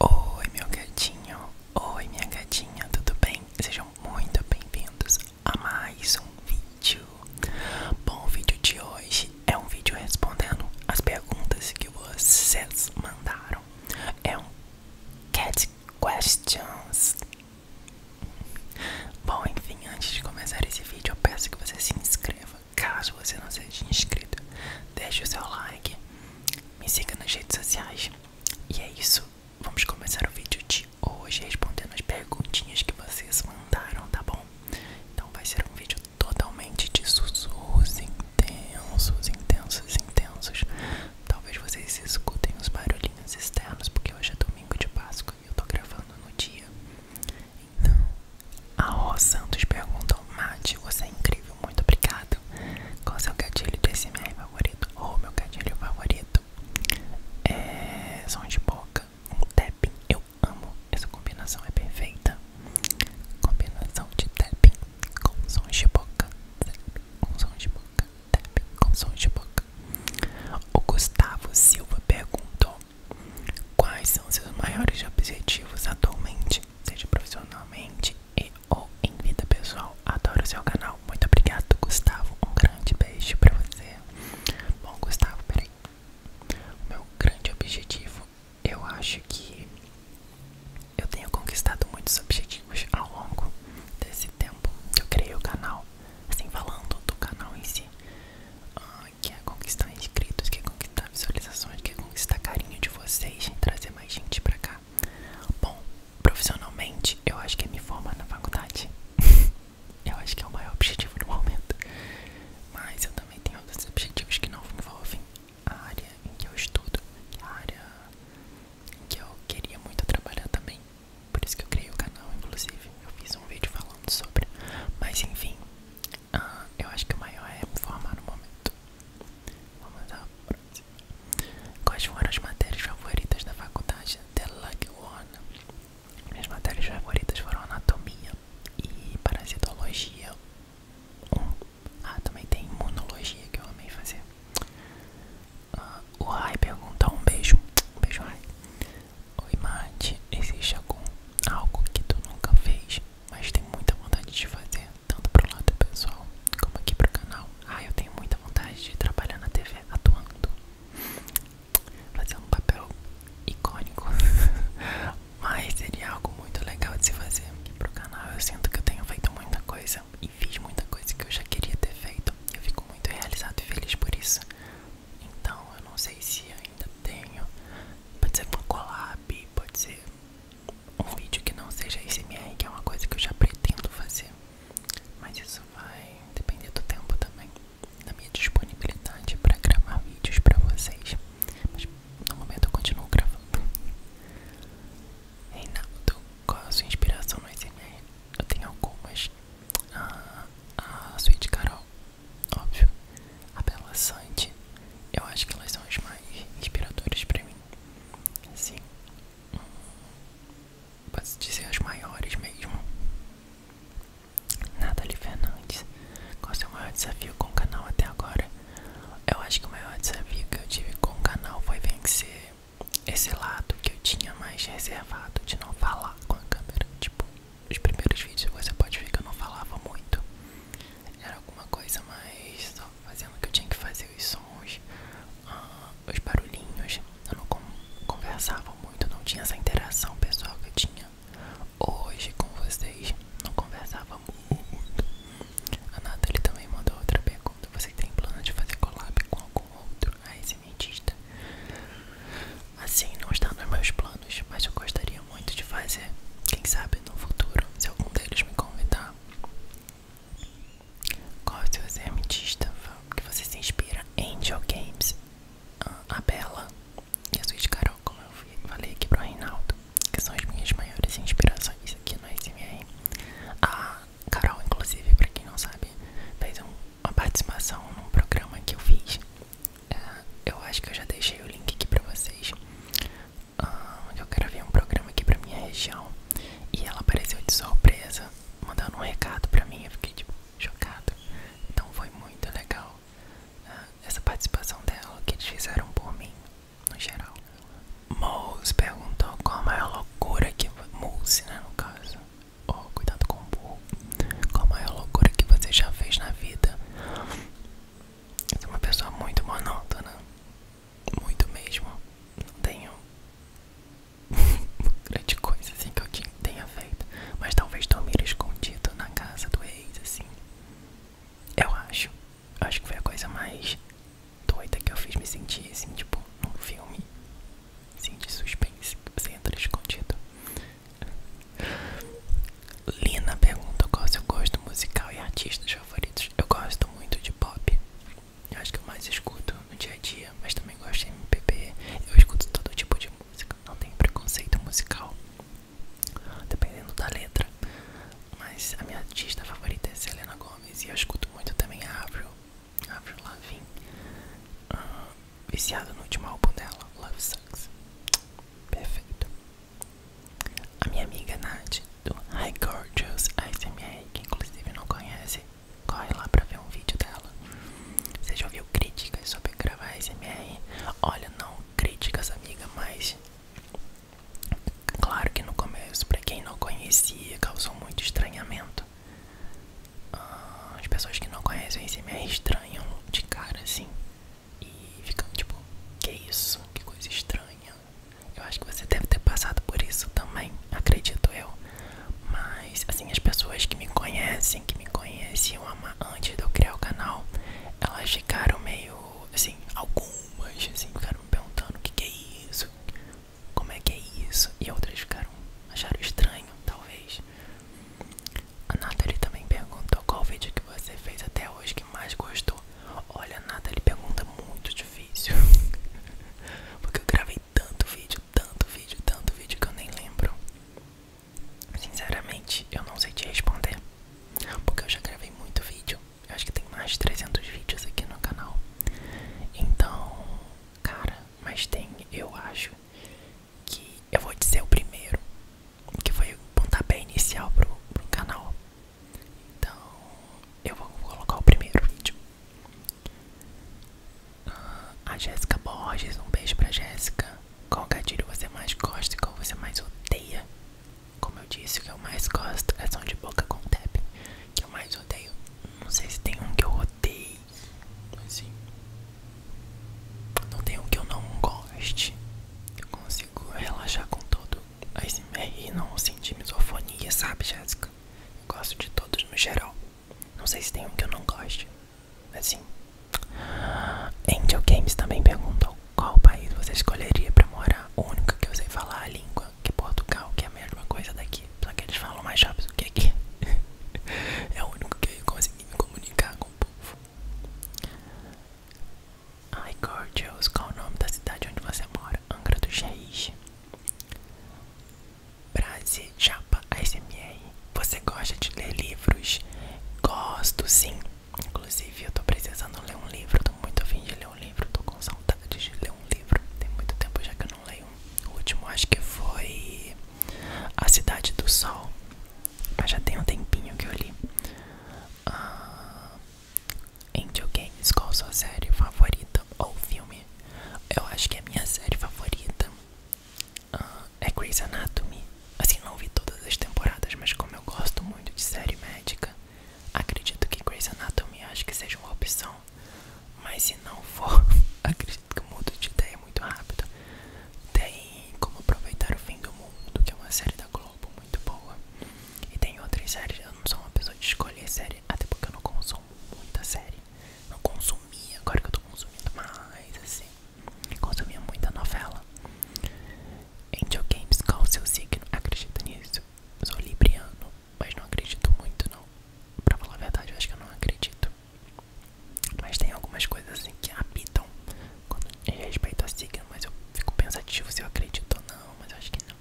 Oi, meu gatinho, oi, minha gatinha, tudo bem? Sejam muito bem-vindos a mais um vídeo. Bom, o vídeo de hoje é um vídeo respondendo as perguntas que vocês mandaram. É um Cat Questions. Bom, enfim, antes de começar esse vídeo, eu peço que você se inscreva. Caso você não seja inscrito, deixe o seu like me siga nas redes sociais. E é isso, vamos começar o vídeo de hoje respondendo as perguntinhas que vocês mandaram, tá bom? Então vai ser um vídeo totalmente de sussurros intensos, intensos, intensos. Talvez vocês escutem os barulhinhos externos, porque hoje é domingo de Páscoa e eu tô gravando no dia. Então, a Rô Santos perguntou: Mate, você é incrível, muito obrigado. Qual seu gatilho do SMR favorito? Ou oh, meu gatilho favorito? É. som de boca, um tapping. Eu amo, essa combinação é perfeita. Combinação de tapping com som de boca, tapping com som de boca, tapping com som de boca. O Gustavo Silva perguntou. Quais são seus maiores objetivos atualmente? seja profissionalmente e ou em vida pessoal. Adoro seu canal. Muito obrigado, Gustavo. Um grande beijo pra você. Bom, Gustavo, peraí. meu grande objetivo, eu acho que eu tenho conquistado muitos objetivos ao longo desse tempo que eu criei o canal. Assim, falando do canal em si. Ah, quer é conquistar inscritos, quer é conquistar visualizações, quer é conquistar carinho de vocês e trazer mais gente pra cá. Bom, profissionalmente, eu acho que é me formar na faculdade. eu acho que é o maior objetivo no momento. Mas eu também tenho outros objetivos que não envolvem a área em que eu estudo, que é a área em que eu queria muito trabalhar também. Por isso que eu criei o canal, inclusive. Eu fiz um vídeo falando sobre. Mas enfim, ah, eu acho que o maior é me formar no momento. Vamos lá à próxima. Quais foram as matérias favoritas da faculdade de Laguna? Minhas matérias favoritas foram anatomia e parasitologia. Um. Ah, também tem imunologia que eu amei fazer. Uh, o Rai pergunta um beijo. Um beijo, Rai. Oi Mate, existe algum, algo que tu nunca fez, mas tem muita vontade de fazer, tanto para o lado pessoal como aqui para o canal. Ah, eu tenho muita vontade de trabalhar na TV atuando, fazendo um papel icônico, mas seria algo muito legal de se fazer aqui para o canal. Eu sinto que eu tenho feito muita coisa e fiz muita coisa que eu já queria ter feito. Eu fico muito realizado e feliz por isso. Então eu não sei se ainda tenho. Pode ser uma collab, pode ser um vídeo que não seja SMR, que é uma coisa que eu já pretendo fazer. Mas isso vai depender do tempo também, da minha disponibilidade para gravar vídeos para vocês. Mas no momento eu continuo gravando. Reinaldo, qual é a sua inspiração no SMR? Eu tenho algumas. Ah, a, a Suíte Carol Óbvio, a Bela Sante, eu acho que elas são as mais inspiradoras pra mim. Assim, posso dizer as maiores mesmo. Nathalie Fernandes, qual é seu maior desafio com o canal até agora? Eu acho que o maior desafio que eu tive com o canal foi vencer esse lado que eu tinha mais reservado de não falar com a câmera. Tipo, os primeiros vídeos você pode ver que eu não falava muito. Era alguma coisa mais só fazendo que eu tinha que fazer, os sons, ah, os barulhinhos. Eu não conversava muito, não tinha essa interação pessoal que eu tinha hoje com vocês. Não conversava muito. A Nathalie também mandou outra pergunta. Você tem plano de fazer collab com algum outro? cientista. Assim, não está nos meus planos, mas eu gostaria muito de fazer. Quem sabe no futuro, se algum deles me convidar. Qual é o seu cientista que você se inspira? Angel Games, ah, a Bela e a Suíte Carol, como eu falei aqui para o Reinaldo, que são as minhas maiores inspirações aqui no SMR. A Carol, inclusive, para quem não sabe, fez um uma participação num programa que eu fiz. É, eu acho que eu já deixei o link aqui pra vocês. Uh, eu ver um programa aqui pra minha região e ela apareceu de surpresa, mandando um recado pra mim. Eu fiquei tipo chocado. Então foi muito legal é, essa participação dela, que eles fizeram por mim, no geral. Moose perguntou qual é a loucura que. Moose, né, no caso oh, cuidado com o burro, com a maior loucura que você já fez na vida. É uma pessoa muito monótona, muito mesmo. Não tenho grande coisa assim que eu tenha feito, mas talvez dormir escondido na casa do ex, assim. Eu acho, acho que foi a coisa mais doida que eu fiz me sentir assim, tipo, num filme. Sim, suspense. Você entra escondido. Lina pergunta qual é o seu gosto musical e artistas favoritos. Eu gosto muito de pop. Eu acho que eu mais escuto no dia a dia, mas também gosto de MPB. Eu escuto todo tipo de música. Não tenho preconceito musical, dependendo da letra. Mas a minha artista favorita é Selena Gomes e eu escuto muito também a Avril Avril Lavigne, uh, viciado no último álbum dela, Love Sucks. Perfeito. A minha amiga Nath, do High Gorgeous ASMR, que inclusive não conhece, corre lá pra ver um vídeo dela. Você já ouviu críticas sobre gravar ASMR? Olha, não críticas, amiga, mas... Claro que no começo, pra quem não conhecia, causou muito estranhamento. Ah, as pessoas que não conhecem o ASMR estranham de cara assim e ficam tipo: Que é isso? Que coisa estranha. Eu acho que você deve ter passado por isso também, acredito eu. Mas, assim, as pessoas que me conhecem, que me conheciam antes de eu criar o canal, elas ficaram meio assim, algumas, assim, ficaram me perguntando: O que, que é isso? como é que é isso? E outras ficaram, acharam estranho, talvez. A Nathalie também perguntou qual vídeo que você fez até hoje que mais gostou. Olha, a Nathalie pergunta muito difícil. Porque eu gravei tanto vídeo, tanto vídeo, tanto vídeo que eu nem lembro. Sinceramente, eu não sei te responder. Porque eu já gravei muito vídeo acho que tem mais de 300 vídeos aqui no canal. Então, cara, mas tem, eu acho que eu vou dizer o primeiro, que foi o ponto pontapé inicial pro, canal. Então, eu vou colocar o primeiro vídeo. Ah, a Jéssica Borges, um beijo pra Jéssica. Qual gatilho você mais gosta e qual você mais odeia? Como eu disse, o que eu mais gosto é ação de boca com tap. Que eu mais odeio. Não sei se tem um que eu odeio. Assim. Não tem um que eu não goste. Eu consigo relaxar com todo. ASMR é não sentir misofonia, sabe, Jéssica? Eu gosto de todos no geral. Não sei se tem um que eu não goste. Assim. Angel Games também perguntou qual país você escolheria para morar? O único que eu falar a língua, que é Portugal, que é a mesma coisa daqui. Só que eles falam mais rápido do que aqui. é o único que eu consegui me comunicar com o povo. Ai, Gorgeous, qual o nome da cidade onde você mora? Angra dos Reis. Brasil, Japa, ASMR. Você gosta de ler livros? Gosto, sim. Inclusive, eu tô precisando ler um livro, tô muito afim de ler um livro, tô com saudades de ler um livro. Tem muito tempo já que eu não leio. O último acho que foi A Cidade do Sol. Mas já tem um tempinho que eu li. Uh, Angel Games, qual sua série favorita ou filme? Eu acho que a minha série favorita ah, é Grey's Anatomy. Assim, não vi todas as temporadas, mas como eu gosto muito de série médica, Acredito que Grey's Anatomy acho que seja uma opção, mas se não for, acredito que eu mudo de ideia é muito rápido. Tem Como Aproveitar o Fim do Mundo, que é uma série da Globo muito boa. E tem outras séries, eu não sou uma pessoa de escolher série, até porque eu não consumo muita série. Não consumia, agora que eu tô consumindo mais, assim. Consumia muita novela. Angel Games, qual o seu signo? Acredita nisso? Sou libriano, mas não acredito muito não. Pra falar a verdade, acho que eu não acredito. Mas tem algumas coisas assim que habitam quando em respeito a signo, mas eu fico pensativo se eu acredito ou não, mas eu acho que não.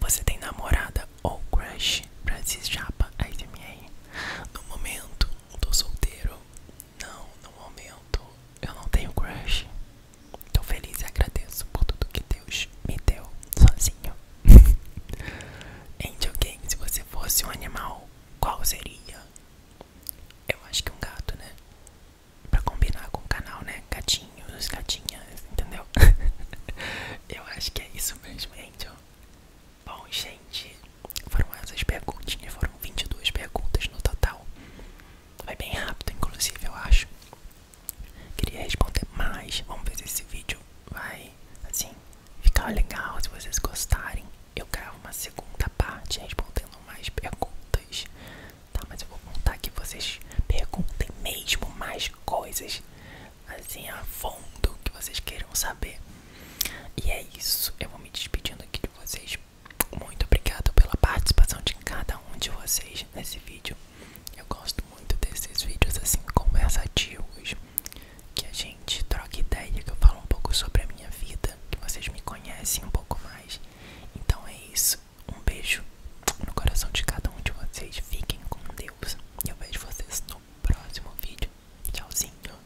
Você tem namorada ou crush? Brasil Japa, ASMR. No momento, tô solteiro. Não, no momento eu não tenho crush. Tô feliz e agradeço por tudo que Deus me deu sozinho. Angel Game, se você fosse um animal, qual seria? Eu acho que um gato, né? Pra combinar com o canal, né? Gatinhos, gatinhas, entendeu? eu acho que é isso mesmo, Angel. Bom, gente, foram essas perguntinhas, foram 22 perguntas no total. Foi bem rápido, inclusive, eu acho. Queria responder mais. Vamos ver se esse vídeo vai, assim, ficar legal. Se vocês gostarem, eu quero uma segunda parte respondendo mais perguntas. Tá, mas eu vou contar que vocês perguntem mesmo mais coisas, assim, a fundo, que vocês queiram saber. E é isso. Eu vou me despedindo aqui de vocês muito obrigado pela participação de cada um de vocês nesse vídeo. Eu gosto muito desses vídeos assim conversativos, que a gente troca ideia, que eu falo um pouco sobre a minha vida, que vocês me conhecem um pouco mais. Então é isso. Um beijo no coração de cada um de vocês. Fiquem com Deus. e Eu vejo vocês no próximo vídeo. Tchauzinho.